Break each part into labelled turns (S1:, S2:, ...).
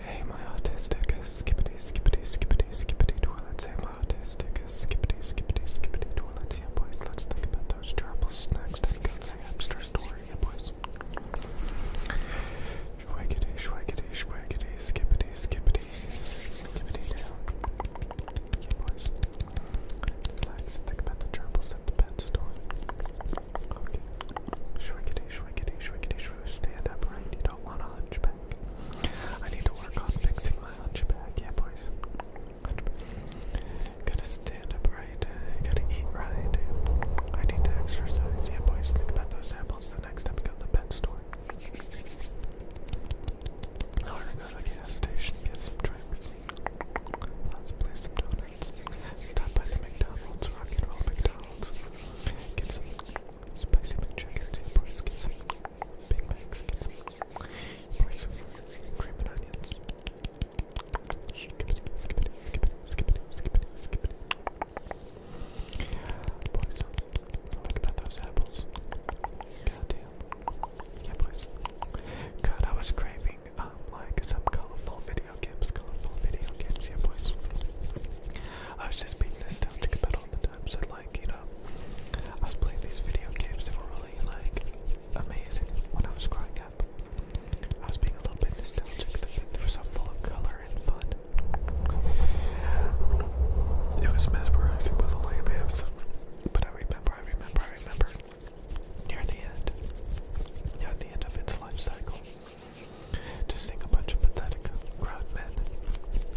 S1: Hey, my autistic skippity skippity skippity skippity toilets. Hey, my autistic skippity skippity skippity toilets. Yeah, boys, let's think about those troubles next. I got the hamster story. Yeah, boys. Schwaggity, schwaggity, schwaggity, skippity, skippity, skippity down. Yeah, boys. Relax and think about the troubles at the pet store. Okay. Schwaggity, schwaggity, schwaggity, true stand up, right? You don't want a hunchback. I need to work on fixing my hunchback. Yeah, boys. Gotta stand up right. Uh, gotta eat right. I need to exercise. Yeah, boys. Think about those apples the next time you go to the pet store. I oh, go to the gas station, get some drinks. Possibly some donuts. Stop by the McDonald's, rock and roll McDonald's. God, I was craving, um, like, some colorful video I was just being nostalgic about all the times so I like, you know, I was playing these video games that were really like amazing when I was growing up. I was being a little bit nostalgic, they were so full of color and fun. It was mesmerizing with all the lamps. But I remember, I remember, I remember. Near the end, near the end of its life cycle, just seeing a bunch of pathetic grown men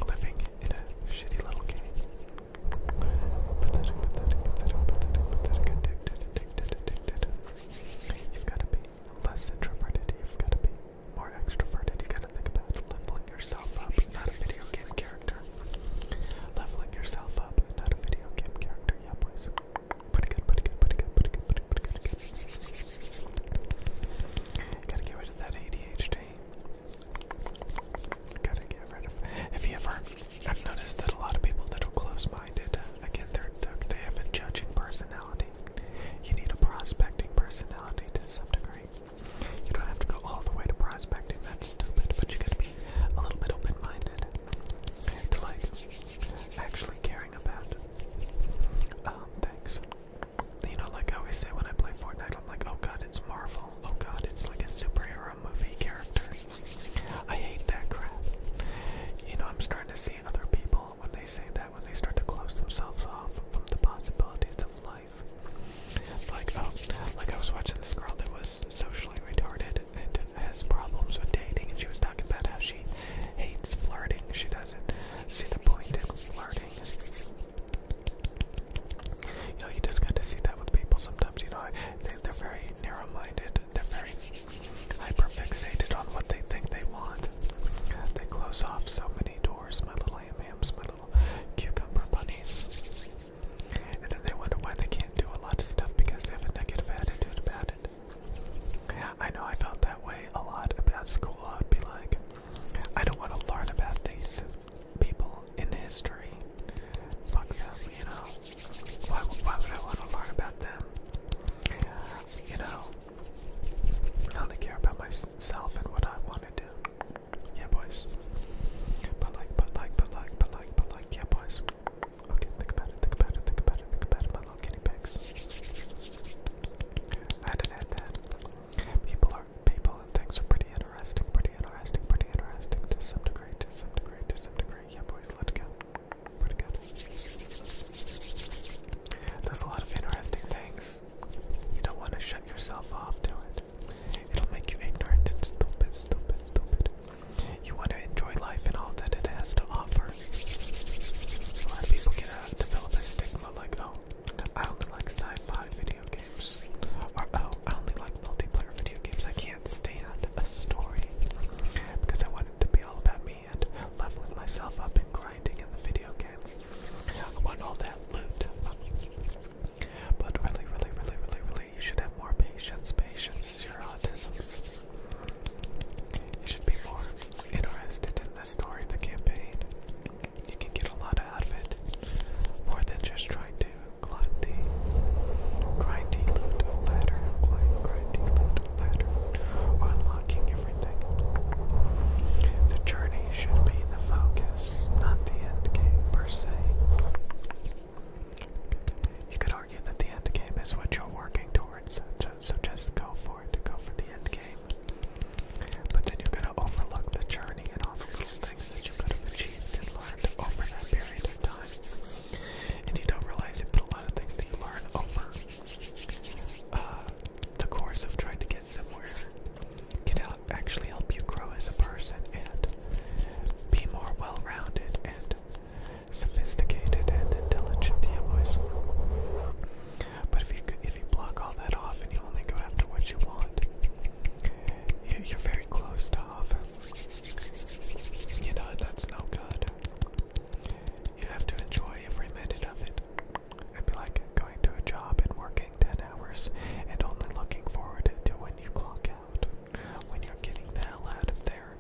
S1: living in a shitty little game. Pathetic, pathetic, pathetic, pathetic, pathetic, addicted, addicted, addicted. You've got to be less introverted, you've got to be more extroverted, you got to think about leveling yourself up, not a video game character. Leveling yourself up, not a video game character, yeah boys. Gotta get rid of that ADHD. Gotta get rid of. Have you ever? I've noticed that a lot of people that are close-minded, uh, again, they're, they have a judging personality. You need a prospecting personality to some degree. You don't have to go all the way to prospecting. That's stupid. But you gotta be a little bit open-minded to like actually care um, thanks. You know, like I always say when I play Fortnite, I'm like, oh god, it's Marvel. Oh god, it's like a superhero movie character. I hate that crap. You know, I'm starting to see other people when they say that, when they start to close themselves off from the possibilities of life. Like, oh, like I was watching this girl that was socially retarded, said has problems with dating, and she was talking about how she hates flirting. She doesn't see the point in flirting. You know, you just got to see that with people sometimes. You know, they, they're very narrow-minded. They're very hyperfixated on what they think they want. They close off so many doors, my little am my little cucumber bunnies. And then they wonder why they can't do a lot of stuff because they have a negative attitude about it. I know I felt that way a lot about school. I would be like, I don't want to learn about these people in history. Fuck them, you know. Why, why would I want to learn about them? You know, I only care about myself and what I want to do. Yeah, boys. But like, but like, but like, but like, but like, yeah, boys. Okay, think about it, think about it, think about it, think about it, my little guinea pigs. I had an that. People are people and things are pretty interesting, pretty interesting, pretty interesting to some degree, to some degree, to some degree. Yeah boys, let it go. Let it go. There's a lot of interesting things. You don't want to shut yourself off to it. It'll make you ignorant It's stupid, stupid, stupid. You want to enjoy life and all that it has to offer. A lot of people can uh, develop a stigma like, oh, I only like sci-fi video games, or oh, I only like multiplayer video games. I can't stand a story because I want it to be all about me and leveling myself up and grinding in the video game. I want all that loot. But really, really, really, really, really, you should have more patience. Patience is your autism. You should be more interested in the story of the campaign. You can get a lot out of it, more than just trying to climb the grindy loot ladder, climb loot ladder, unlocking everything. The journey should be the focus, not the end game per se. You could argue that the end game is what you're working towards, so, so just go for it, go for the end game. But then you're going to overlook the journey and all the little things that you could have achieved and learned over that period of time. And you don't realize it, but a lot of things that you learn over uh, the course of trying to get somewhere can help, actually help you grow as a person and be more well rounded and sophisticated and intelligent yeah boys but if you if you block all that off and you only go after what you want you're very closed off you know that's no good you have to enjoy every minute of it it'd be like going to a job and working 10 hours and only looking forward to when you clock out when you're getting the hell out of there.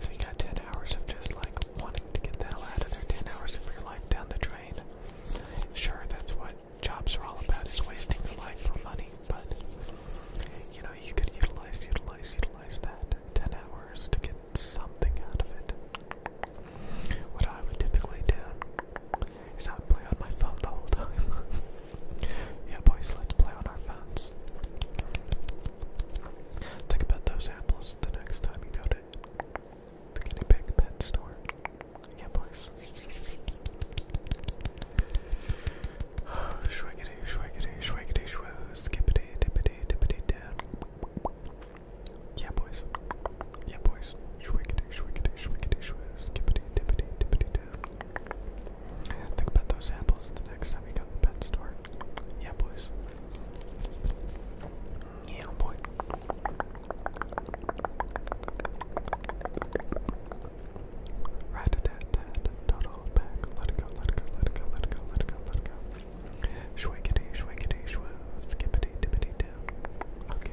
S1: So you got 10 hours of just like wanting to get the hell out of there, 10 hours of your life down the drain. Sure, that's what jobs are all about is wasting your life for money, but you know, you could utilize, utilize, utilize that 10 hours to get something out of it. What I would typically do is I would play on my phone the whole time. Yeah, boys, let's play on our phones. Think about those apples the next time you go to the guinea pig pet store. Yeah, boys. Shwiggity, shwiggity, shwiggity, shwoo, skippity, dippity, dippity, down. Yeah, boys. Yeah, boys. Shwiggity, shwiggity, shwiggity, shwoo, skippity, dippity, dippity, down. Think about those apples the next time you go to the pet store. Yeah, boys. Yeah, boy. Rat a tat Total hold Let it go, let it go, let it go, let it go, let it go, let it go. Shwiggity, shwiggity, shwoo. Skippity, dippity, dip. Okay.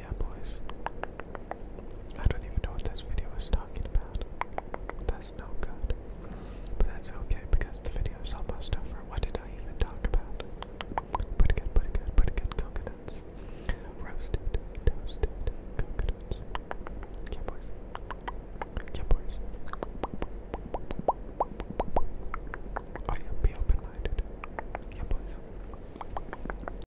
S1: yeah, boys. I don't even know what this video is talking about. That's no good. But that's okay because the video is almost over. What did I even talk about? Pretty good, pretty good, pretty good coconuts. Roasted, toasted coconuts. Yeah, boys. Yeah, boys. Oh, yeah, be open minded. Yeah, boys.